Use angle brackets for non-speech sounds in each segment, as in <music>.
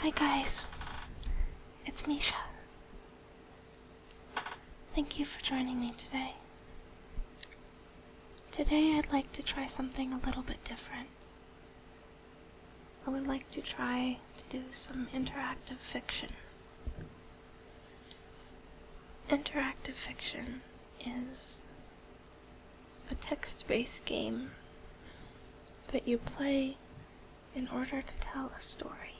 Hi guys, it's Misha. Thank you for joining me today. Today I'd like to try something a little bit different. I would like to try to do some interactive fiction. Interactive fiction is a text based game that you play in order to tell a story.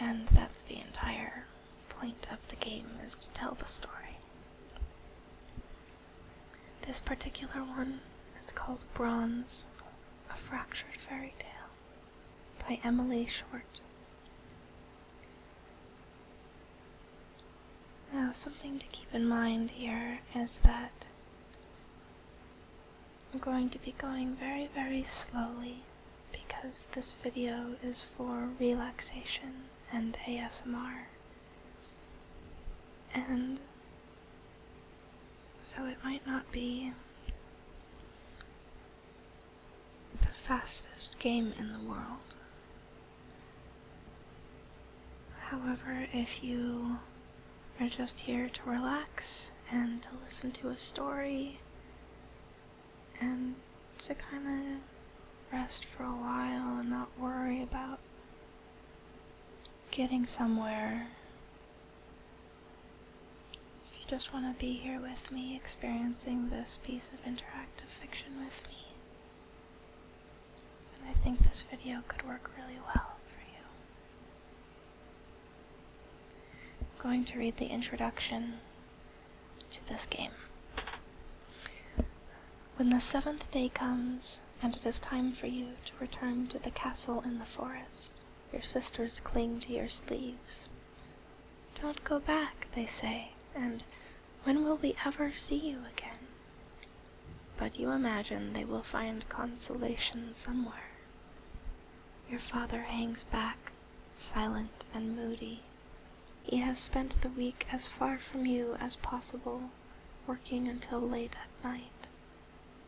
And that's the entire point of the game is to tell the story. This particular one is called Bronze, A Fractured Fairy Tale by Emily Short. Now, something to keep in mind here is that I'm going to be going very, very slowly because this video is for relaxation and ASMR. And so it might not be the fastest game in the world, However, if you are just here to relax and to listen to a story and to kind of rest for a while and not worry about getting somewhere, if you just want to be here with me, experiencing this piece of interactive fiction with me, and I think this video could work really well for you. I'm going to read the introduction to this game. When the seventh day comes, and it is time for you to return to the castle in the forest, your sisters cling to your sleeves. Don't go back, they say, and when will we ever see you again? But you imagine they will find consolation somewhere. Your father hangs back, silent and moody. He has spent the week as far from you as possible, working until late at night.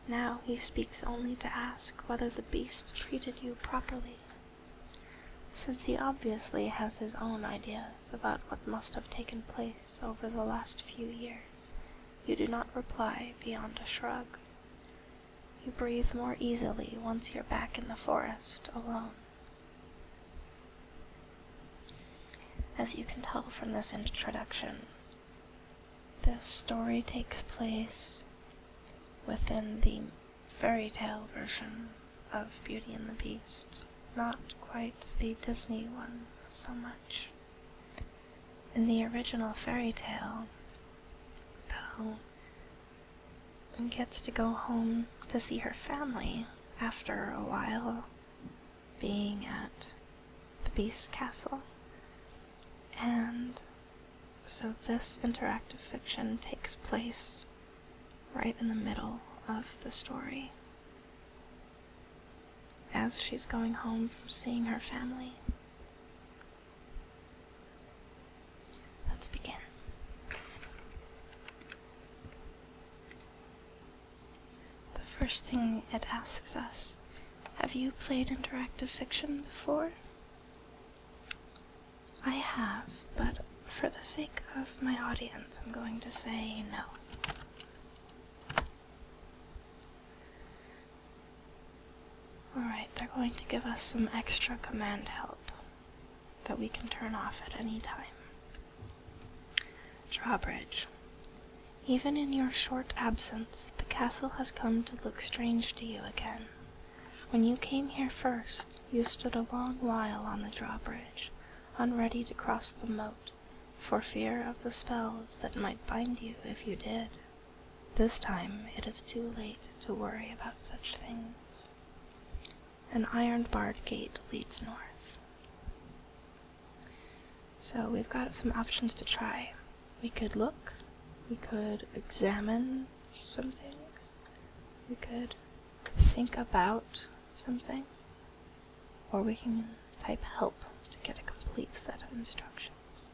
Now he speaks only to ask whether the beast treated you properly, since he obviously has his own ideas about what must have taken place over the last few years, you do not reply beyond a shrug. You breathe more easily once you're back in the forest alone. As you can tell from this introduction, this story takes place within the fairy tale version of Beauty and the Beast not quite the Disney one so much. In the original fairy tale, Belle gets to go home to see her family after a while being at the Beast's castle. And so this interactive fiction takes place right in the middle of the story as she's going home from seeing her family. Let's begin. The first thing it asks us Have you played interactive fiction before? I have, but for the sake of my audience, I'm going to say no. Alright, they're going to give us some extra command help that we can turn off at any time. Drawbridge. Even in your short absence, the castle has come to look strange to you again. When you came here first, you stood a long while on the drawbridge, unready to cross the moat for fear of the spells that might bind you if you did. This time it is too late to worry about such things. An iron barred gate leads north. So we've got some options to try. We could look, we could examine some things, we could think about something or we can type help to get a complete set of instructions.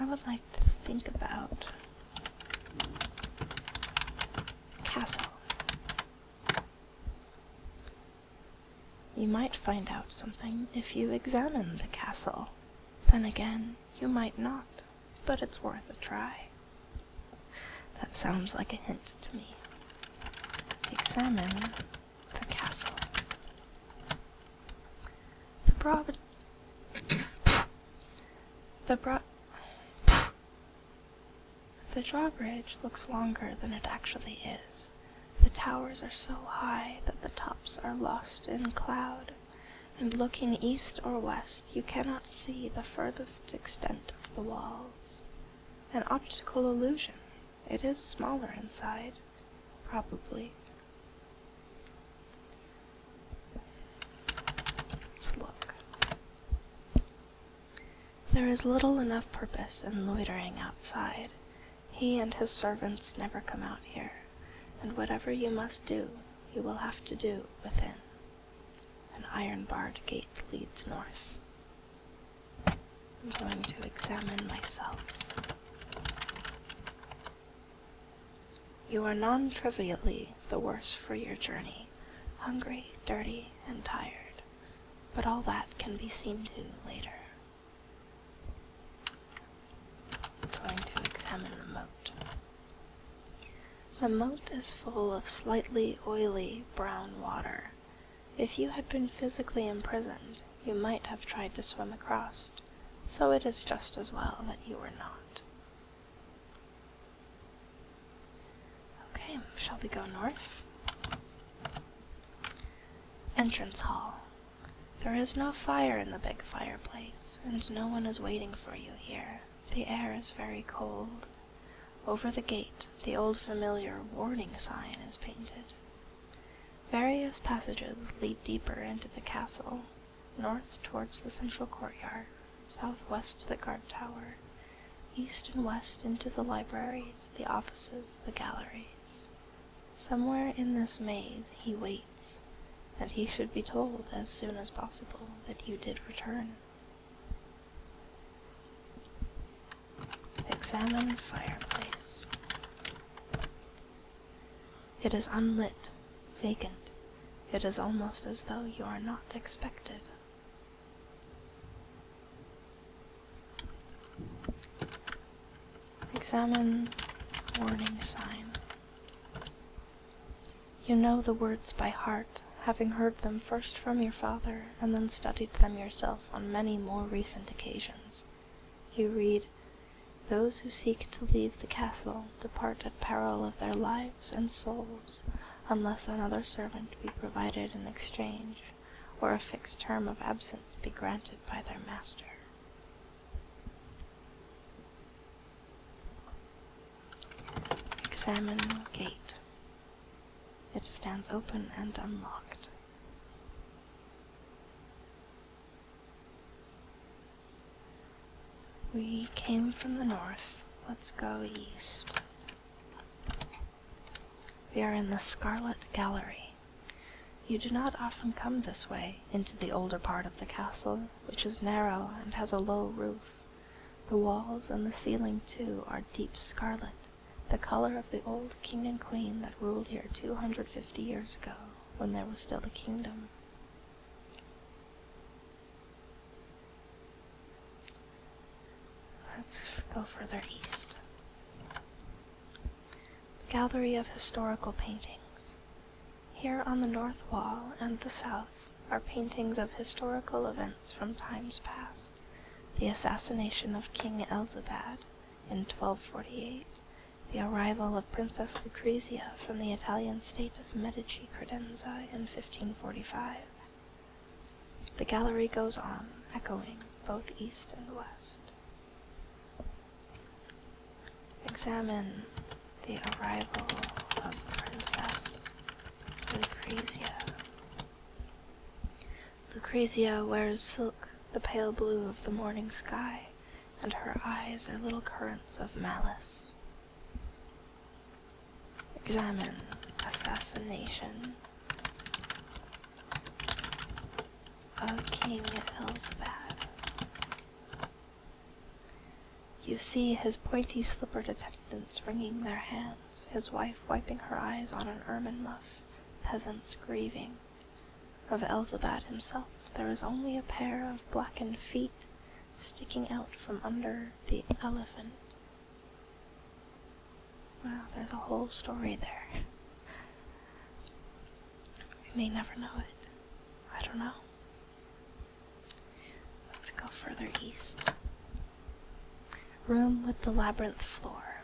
I would like to think about castle. You might find out something if you examine the castle. Then again, you might not, but it's worth a try. That sounds like a hint to me. Examine the castle. The broad. <coughs> the broad. The drawbridge looks longer than it actually is. The towers are so high that the tops are lost in cloud, and looking east or west you cannot see the furthest extent of the walls. An optical illusion. It is smaller inside, probably. Let's look. There is little enough purpose in loitering outside. He and his servants never come out here, and whatever you must do, you will have to do within. An iron barred gate leads north. I'm going to examine myself. You are non trivially the worse for your journey, hungry, dirty, and tired, but all that can be seen to later. I'm going to examine the moat. The moat is full of slightly oily brown water. If you had been physically imprisoned, you might have tried to swim across, so it is just as well that you were not. Okay, shall we go north? Entrance Hall. There is no fire in the big fireplace, and no one is waiting for you here. The air is very cold. Over the gate, the old familiar warning sign is painted. Various passages lead deeper into the castle, north towards the central courtyard, southwest to the guard tower, east and west into the libraries, the offices, the galleries. Somewhere in this maze he waits, and he should be told as soon as possible that you did return. Examine fireplace. It is unlit, vacant. It is almost as though you are not expected. Examine warning sign. You know the words by heart, having heard them first from your father, and then studied them yourself on many more recent occasions. You read, Those who seek to leave the castle depart at peril of their lives and souls, unless another servant be provided in exchange, or a fixed term of absence be granted by their master. Examine gate. It stands open and unlocked. We came from the north. Let's go east. We are in the Scarlet Gallery. You do not often come this way, into the older part of the castle, which is narrow and has a low roof. The walls and the ceiling, too, are deep scarlet, the color of the old king and queen that ruled here two hundred fifty years ago, when there was still a kingdom. Let's go further east. Gallery of Historical Paintings. Here on the north wall and the south are paintings of historical events from times past the assassination of King Elzabad in 1248, the arrival of Princess Lucrezia from the Italian state of Medici Credenza in 1545. The gallery goes on, echoing both east and west. Examine the arrival of Princess Lucrezia Lucrezia wears silk, the pale blue of the morning sky, and her eyes are little currents of malice. Examine assassination of King Elzabad. You see his pointy slippered attendants wringing their hands his wife wiping her eyes on an ermine muff, peasants grieving. Of Elzabad himself there was only a pair of blackened feet sticking out from under the elephant. Well, there's a whole story there. We may never know it. I don't know. Let's go further east. Room with the labyrinth floor.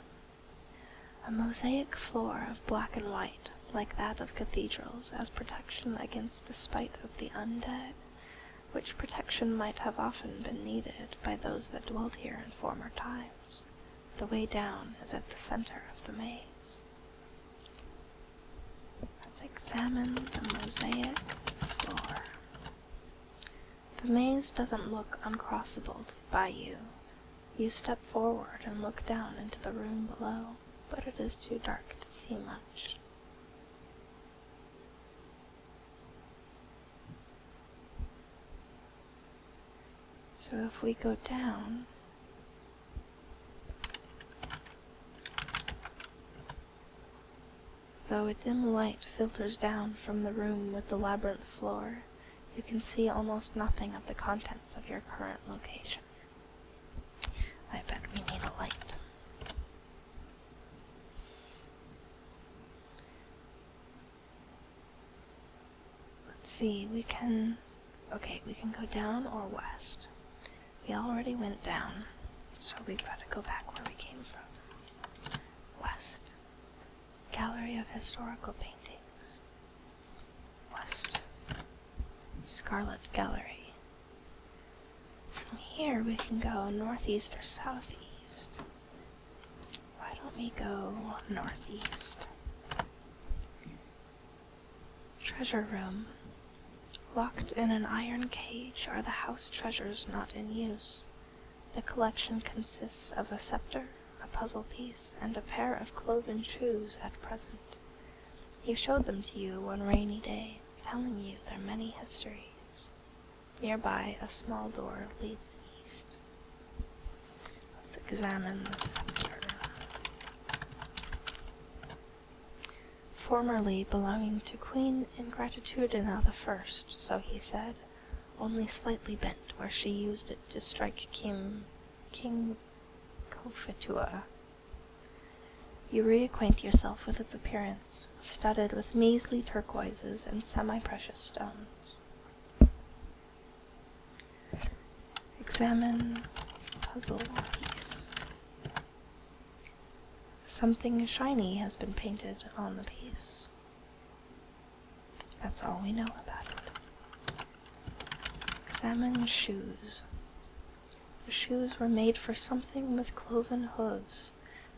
A mosaic floor of black and white, like that of cathedrals, as protection against the spite of the undead, which protection might have often been needed by those that dwelt here in former times. The way down is at the center of the maze. Let's examine the mosaic floor. The maze doesn't look uncrossable by you. You step forward and look down into the room below, but it is too dark to see much. So if we go down, Though a dim light filters down from the room with the labyrinth floor, you can see almost nothing of the contents of your current location. I bet we need a light. Let's see, we can... Okay, we can go down or west. We already went down, so we've got to go back where we came from. West. Gallery of Historical Paintings. West Scarlet Gallery. From here we can go northeast or southeast. Why don't we go northeast? Treasure Room. Locked in an iron cage are the house treasures not in use. The collection consists of a scepter, a puzzle piece, and a pair of cloven shoes at present. He showed them to you one rainy day, telling you their many histories. Nearby, a small door leads east. Let's examine the scepter. Formerly belonging to Queen Ingratitudina the First, so he said only slightly bent where she used it to strike King, King Cophetua. You reacquaint yourself with its appearance, studded with measly turquoises and semi-precious stones. Examine puzzle piece. Something shiny has been painted on the piece. That's all we know about it. Salmon shoes. The shoes were made for something with cloven hooves.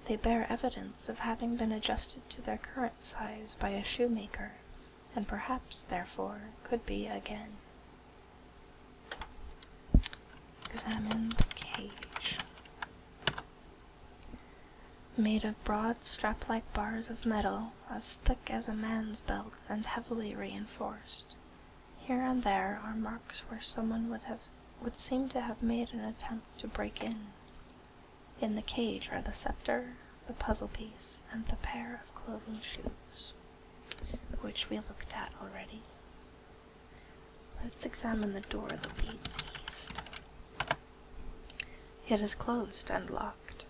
They bear evidence of having been adjusted to their current size by a shoemaker, and perhaps, therefore, could be again. Examine the cage made of broad strap-like bars of metal as thick as a man's belt and heavily reinforced. Here and there are marks where someone would have would seem to have made an attempt to break in. In the cage are the scepter, the puzzle piece, and the pair of cloven shoes, which we looked at already. Let's examine the door that leads east. It is closed and locked.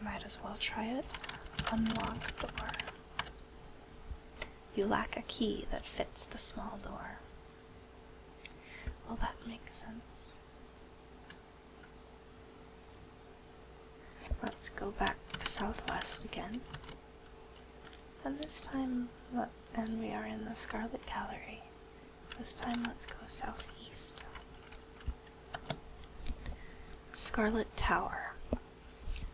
Might as well try it. Unlock door. You lack a key that fits the small door. Well, that makes sense. Let's go back southwest again. And this time, and we are in the Scarlet Gallery. This time, let's go southeast. Scarlet Tower.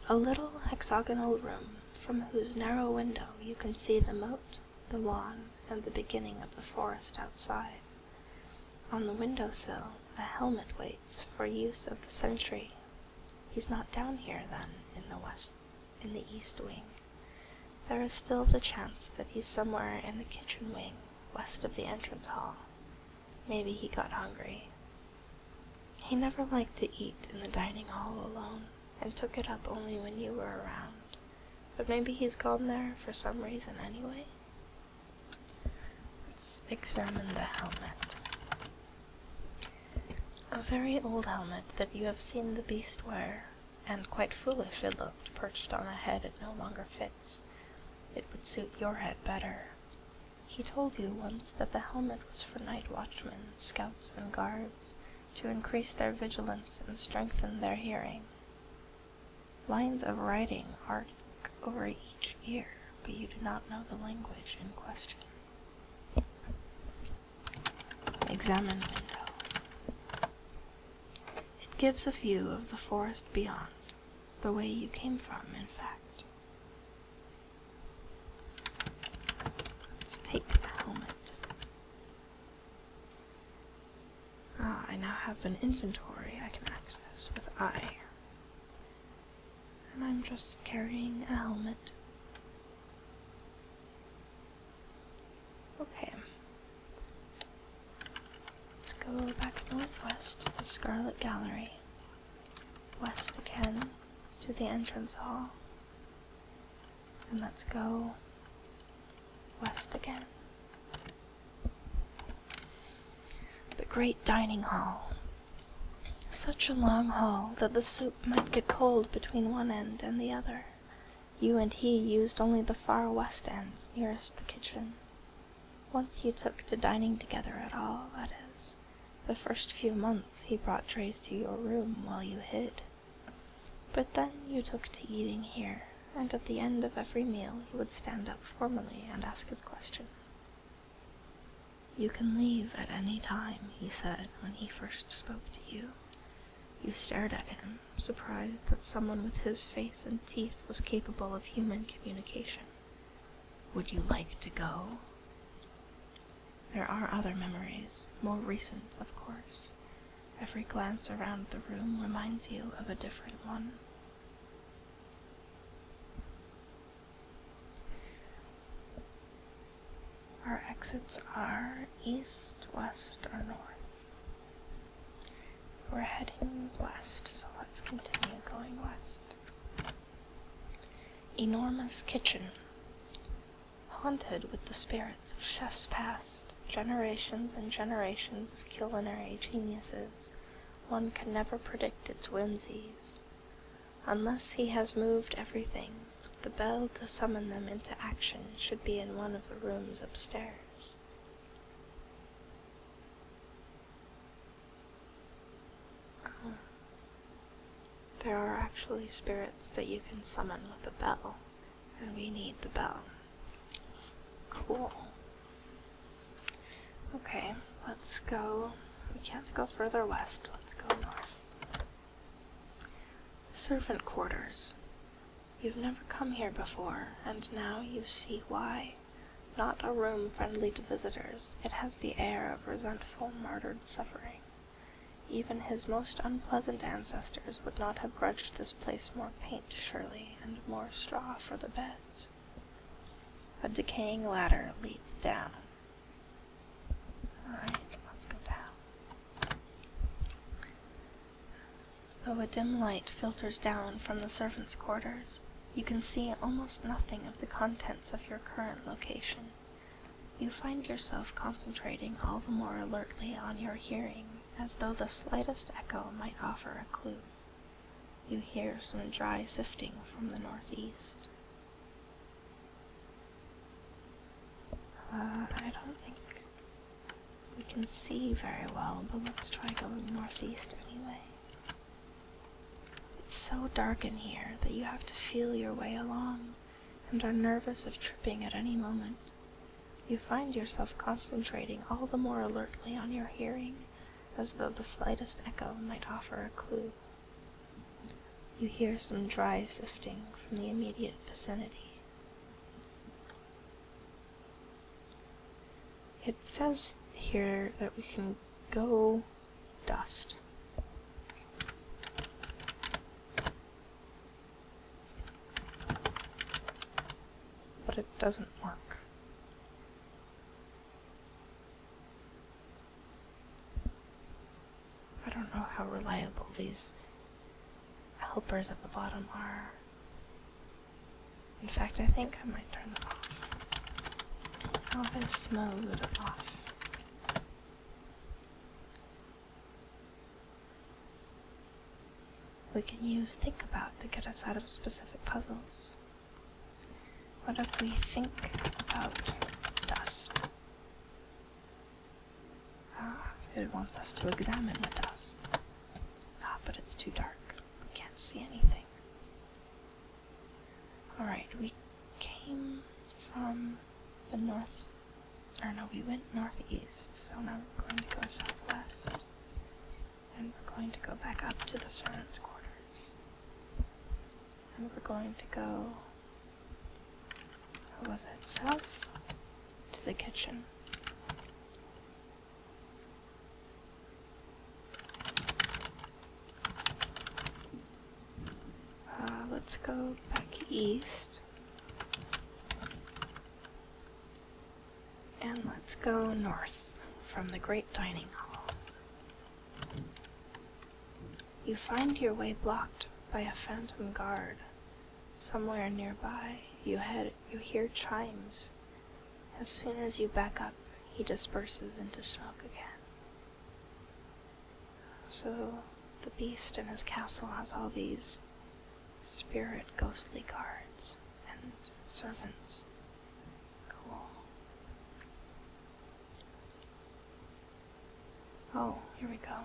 A little hexagonal room from whose narrow window you can see the moat, the lawn, and the beginning of the forest outside. On the window sill, a helmet waits for use of the sentry. He's not down here, then, in the west in the east wing. There is still the chance that he's somewhere in the kitchen wing, west of the entrance hall. Maybe he got hungry. He never liked to eat in the dining hall alone, and took it up only when you were around. But maybe he's gone there for some reason anyway. Let's examine the helmet. A very old helmet that you have seen the beast wear, and quite foolish it looked perched on a head it no longer fits. It would suit your head better. He told you once that the helmet was for night watchmen, scouts, and guards, to increase their vigilance and strengthen their hearing. Lines of writing arc over each ear, but you do not know the language in question. Examine window. It gives a view of the forest beyond, the way you came from, in fact. Let's take the helmet. Ah, I now have an inventory I can access with I. And I'm just carrying a helmet. Okay. Let's go back northwest to the Scarlet Gallery. West again to the entrance hall. And let's go west again. The great dining hall. Such a long hall that the soup might get cold between one end and the other. You and he used only the far west end, nearest the kitchen. Once you took to dining together at all, that is. The first few months he brought trays to your room while you hid. But then you took to eating here, and at the end of every meal he would stand up formally and ask his question. You can leave at any time, he said when he first spoke to you. You stared at him, surprised that someone with his face and teeth was capable of human communication. Would you like to go? There are other memories, more recent, of course. Every glance around the room reminds you of a different one. Our exits are east, west, or north. We're heading west, so let's continue going west. Enormous kitchen. Haunted with the spirits of chefs past, generations and generations of culinary geniuses, one can never predict its whimsies. Unless he has moved everything, the bell to summon them into action should be in one of the rooms upstairs. Oh. There are actually spirits that you can summon with a bell, and we need the bell. Cool. Okay, let's go. We can't go further west, let's go north. Servant quarters. You've never come here before, and now you see why. Not a room friendly to visitors, it has the air of resentful, martyred suffering. Even his most unpleasant ancestors would not have grudged this place more paint, surely, and more straw for the beds. A decaying ladder leads down, Alright, let's go down. Though a dim light filters down from the servants' quarters, you can see almost nothing of the contents of your current location. You find yourself concentrating all the more alertly on your hearing, as though the slightest echo might offer a clue. You hear some dry sifting from the northeast. Uh, I don't think we can see very well, but let's try going northeast anyway. It's so dark in here that you have to feel your way along and are nervous of tripping at any moment. You find yourself concentrating all the more alertly on your hearing, as though the slightest echo might offer a clue. You hear some dry sifting from the immediate vicinity. It says here that we can go dust. But it doesn't work. I don't know how reliable these helpers at the bottom are. In fact, I think I might turn them off. How this mode off? We can use think about to get us out of specific puzzles. What if we think about dust? Ah, it wants us to examine the dust. Ah, but it's too dark. We can't see anything. Alright, we came from the north. Or no, we went northeast, so now we're going to go southwest. And we're going to go back up to the servants' quarters. And we're going to go or was it south? To the kitchen. Uh, let's go back east. And let's go north from the Great Dining Hall. You find your way blocked by a phantom guard. Somewhere nearby, you, hear chimes. As soon as you back up, he disperses into smoke again. So, the beast in his castle has all these spirit ghostly guards and servants. Cool. Oh, here we go.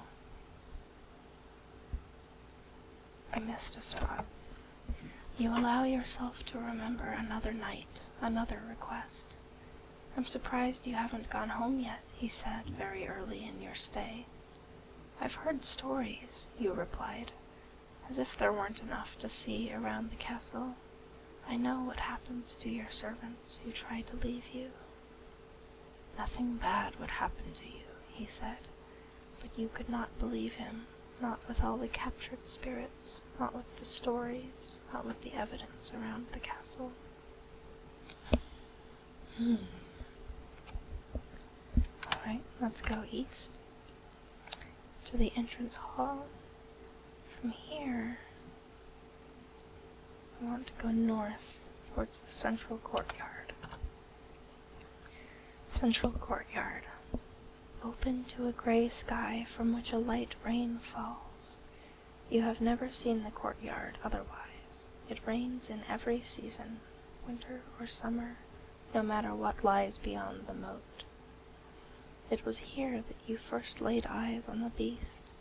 I missed a spot. You allow yourself to remember another night, another request. I'm surprised you haven't gone home yet, he said very early in your stay. I've heard stories, you replied, as if there weren't enough to see around the castle. I know what happens to your servants who try to leave you. Nothing bad would happen to you, he said, but you could not believe him, not with all the captured spirits, not with the stories, not with the evidence around the castle. Hmm. Alright, let's go east to the entrance hall. From here, I want to go north towards the central courtyard. Central courtyard, open to a gray sky from which a light rain falls. You have never seen the courtyard otherwise. It rains in every season, winter or summer, no matter what lies beyond the moat. It was here that you first laid eyes on the beast,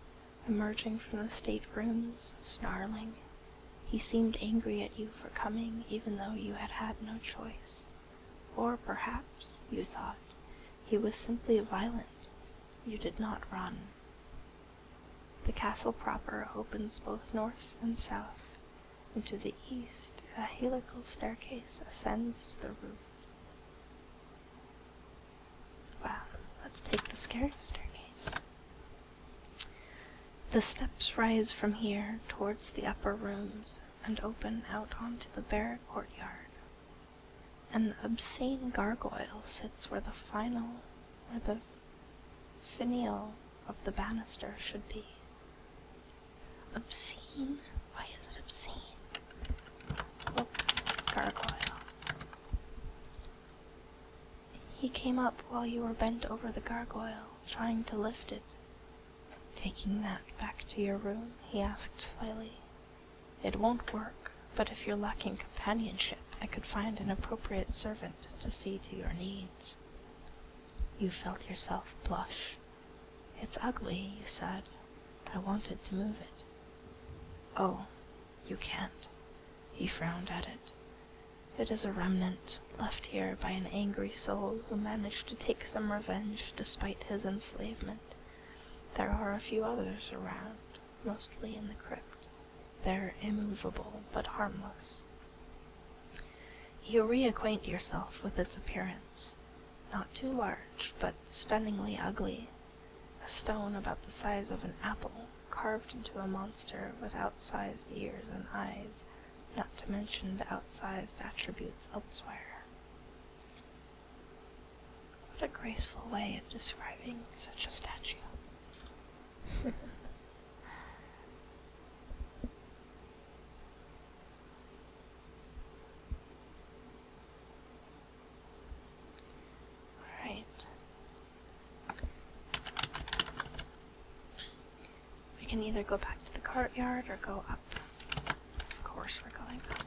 emerging from the staterooms, snarling. He seemed angry at you for coming, even though you had had no choice. Or perhaps, you thought, he was simply violent. You did not run. The castle proper opens both north and south. And to the east, a helical staircase ascends to the roof. Well, let's take the scary staircase. The steps rise from here towards the upper rooms and open out onto the bare courtyard. An obscene gargoyle sits where the final, where the finial of the banister should be. Obscene? Why is it obscene? Oh, gargoyle. He came up while you were bent over the gargoyle, trying to lift it. Taking that back to your room, he asked slyly. It won't work, but if you're lacking companionship, I could find an appropriate servant to see to your needs. You felt yourself blush. It's ugly, you said. I wanted to move it. Oh, you can't. He frowned at it. It is a remnant, left here by an angry soul who managed to take some revenge despite his enslavement. There are a few others around, mostly in the crypt. They're immovable but harmless. You reacquaint yourself with its appearance. Not too large, but stunningly ugly a stone about the size of an apple, carved into a monster with outsized ears and eyes, not to mention outsized attributes elsewhere. What a graceful way of describing such a statue. <laughs> All right. We can either go back to the courtyard or go up. Of course, we're going up.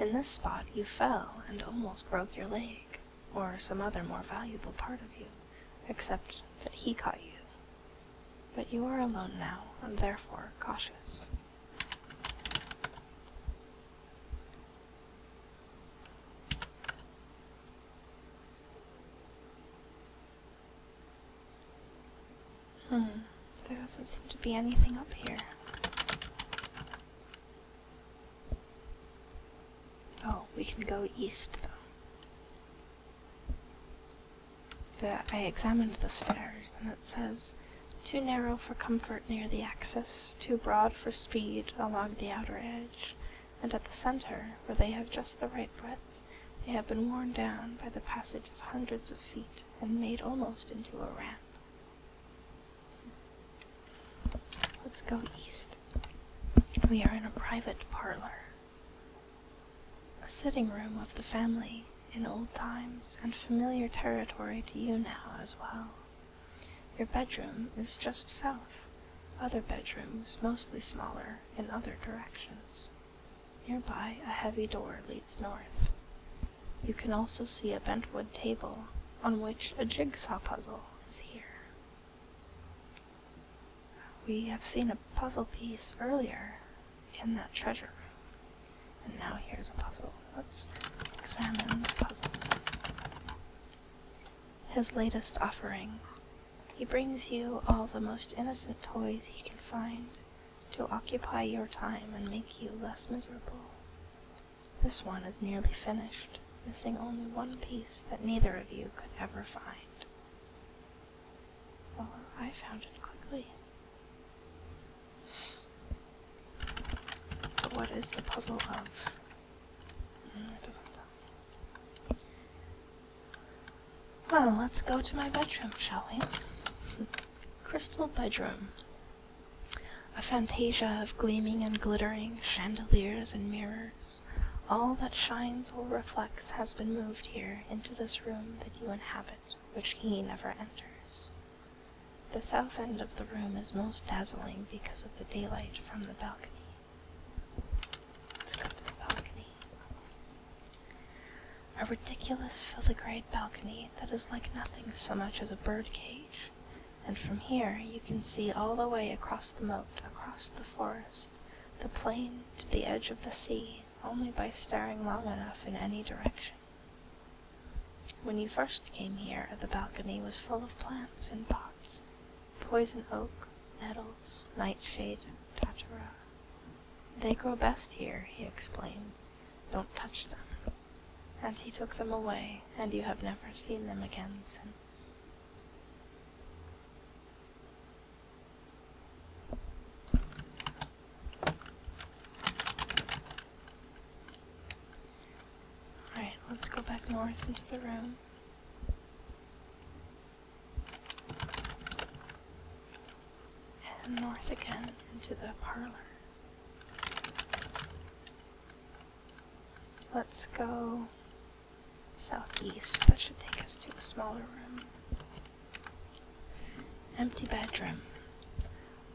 In this spot, you fell and almost broke your leg, or some other more valuable part of you, except that he caught you. But you are alone now, and therefore cautious. Hmm, there doesn't seem to be anything up here. Oh, we can go east, though. I examined the stairs, and it says, too narrow for comfort near the axis, too broad for speed along the outer edge, and at the center, where they have just the right breadth, they have been worn down by the passage of hundreds of feet and made almost into a ramp. Let's go east. We are in a private parlor, a sitting room of the family in old times and familiar territory to you now as well. Your bedroom is just south. Other bedrooms, mostly smaller, in other directions. Nearby, a heavy door leads north. You can also see a bentwood table on which a jigsaw puzzle is here. We have seen a puzzle piece earlier in that treasure room. And now here's a puzzle. Let's examine the puzzle his latest offering. He brings you all the most innocent toys he can find to occupy your time and make you less miserable. This one is nearly finished, missing only one piece that neither of you could ever find. Well, I found it quickly. But what is the puzzle of? Well, let's go to my bedroom, shall we? Crystal bedroom. A fantasia of gleaming and glittering chandeliers and mirrors. All that shines or reflects has been moved here into this room that you inhabit, which he never enters. The south end of the room is most dazzling because of the daylight from the balcony. Let's the balcony. A ridiculous filigreed balcony that is like nothing so much as a birdcage, and from here you can see all the way across the moat, across the forest, the plain to the edge of the sea, only by staring long enough in any direction. When you first came here, the balcony was full of plants in pots poison oak, nettles, nightshade, tatara. They grow best here, he explained. Don't touch them. And he took them away, and you have never seen them again since. Alright, let's go back north into the room. And north again into the parlor. Let's go southeast. That should take us to the smaller room. Empty bedroom.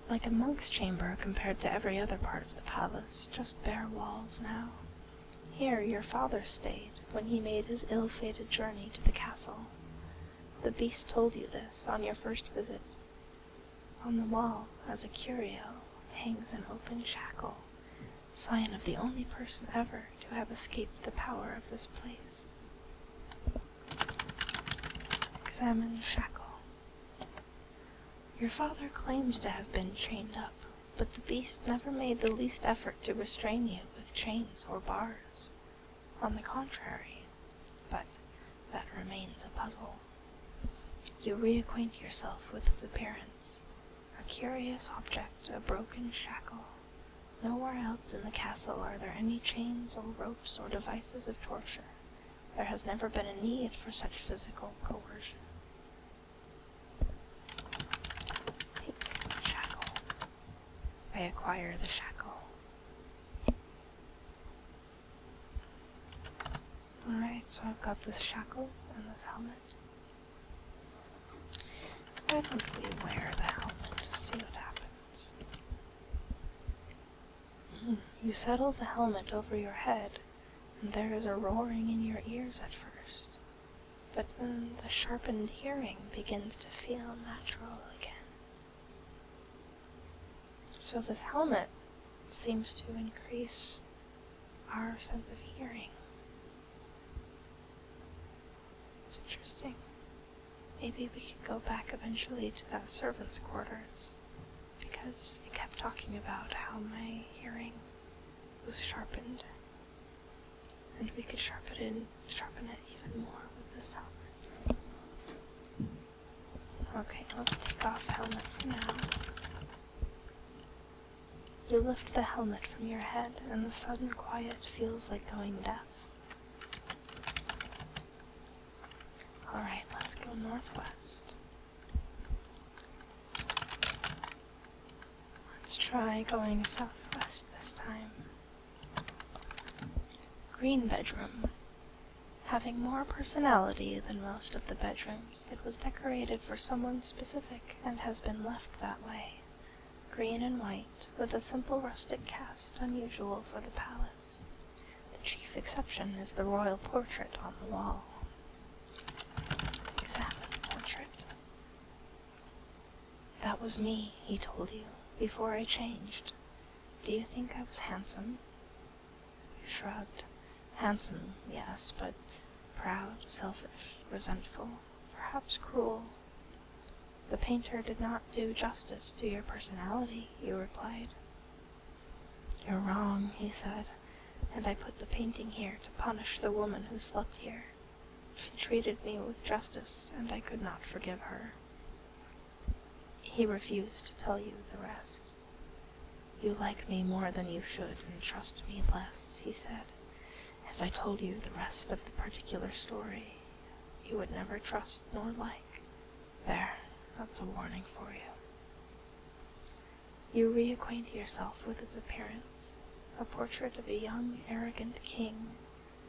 Like a monk's chamber compared to every other part of the palace just bare walls now. Here your father stayed when he made his ill-fated journey to the castle. The beast told you this on your first visit. On the wall, as a curio, hangs an open shackle, sign of the only person ever to have escaped the power of this place. Examine shackle. Your father claims to have been chained up, but the beast never made the least effort to restrain you with chains or bars. On the contrary, but that remains a puzzle. You reacquaint yourself with its appearance, a curious object, a broken shackle. Nowhere else in the castle are there any chains or ropes or devices of torture, there has never been a need for such physical coercion. Take shackle. I acquire the shackle. Alright, so I've got this shackle and this helmet. Why don't we wear the helmet to see what happens? Hmm, you settle the helmet over your head and there is a roaring in your ears at first, but then the sharpened hearing begins to feel natural again. So this helmet seems to increase our sense of hearing. It's interesting. Maybe we could go back eventually to that servant's quarters because it kept talking about how my hearing was sharpened, and we could sharpen it, sharpen it even more with this helmet. Okay, let's take off helmet for now. You lift the helmet from your head, and the sudden quiet feels like going deaf. Alright, let's go northwest. Let's try going southwest this time. Green bedroom. Having more personality than most of the bedrooms, it was decorated for someone specific and has been left that way. Green and white, with a simple rustic cast unusual for the palace. The chief exception is the royal portrait on the wall. Examine portrait. That was me, he told you, before I changed. Do you think I was handsome? You shrugged. Handsome, yes, but proud, selfish, resentful, perhaps cruel. The painter did not do justice to your personality, you replied. You're wrong, he said, and I put the painting here to punish the woman who slept here. She treated me with justice, and I could not forgive her. He refused to tell you the rest. You like me more than you should, and trust me less, he said. If I told you the rest of the particular story, you would never trust nor like. There, that's a warning for you. You reacquaint yourself with its appearance, a portrait of a young, arrogant king,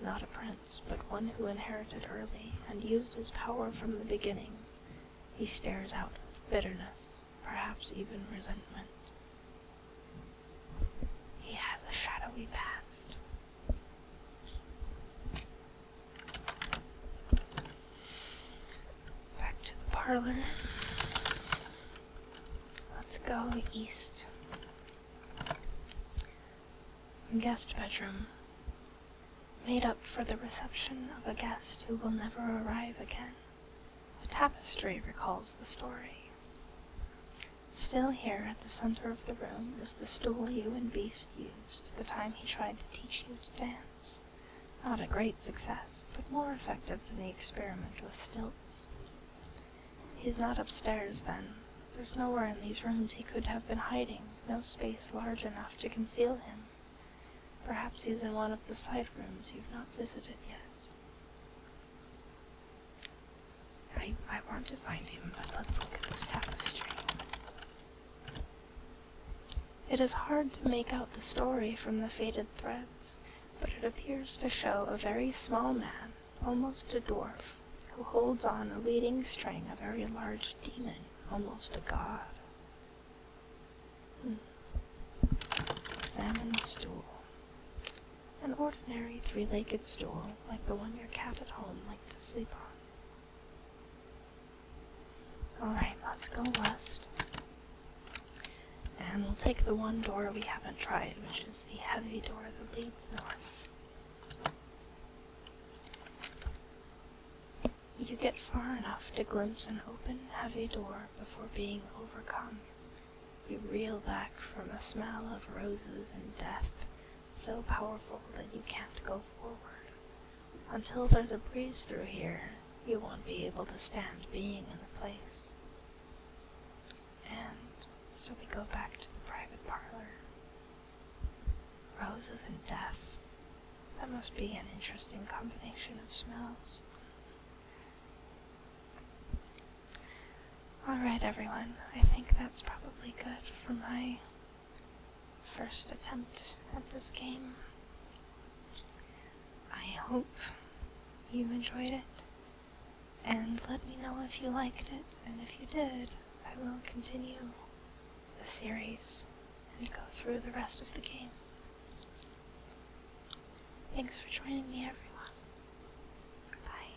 not a prince, but one who inherited early and used his power from the beginning. He stares out with bitterness, perhaps even resentment. He has a shadowy past. Back to the parlor. Let's go east. Guest bedroom. Made up for the reception of a guest who will never arrive again. A tapestry recalls the story. Still here at the center of the room is the stool you and Beast used the time he tried to teach you to dance. Not a great success, but more effective than the experiment with stilts. He's not upstairs, then. There's nowhere in these rooms he could have been hiding, no space large enough to conceal him. Perhaps he's in one of the side rooms you've not visited yet. I, I want to find him, but let's look at this tapestry. It is hard to make out the story from the faded threads, but it appears to show a very small man, almost a dwarf, who holds on a leading string a very large demon, almost a god. Hmm. Examine the stool. An ordinary three-legged stool, like the one your cat at home liked to sleep on. Alright, let's go west. And we'll take the one door we haven't tried, which is the heavy door that leads north. You get far enough to glimpse an open, heavy door before being overcome. You reel back from a smell of roses and death, so powerful that you can't go forward. Until there's a breeze through here, you won't be able to stand being in the place. And so we go back to the private parlor. Roses and death. That must be an interesting combination of smells. Alright, everyone, I think that's probably good for my first attempt at this game. I hope you enjoyed it. And let me know if you liked it, and if you did, I will continue the series and go through the rest of the game. Thanks for joining me, everyone. Bye.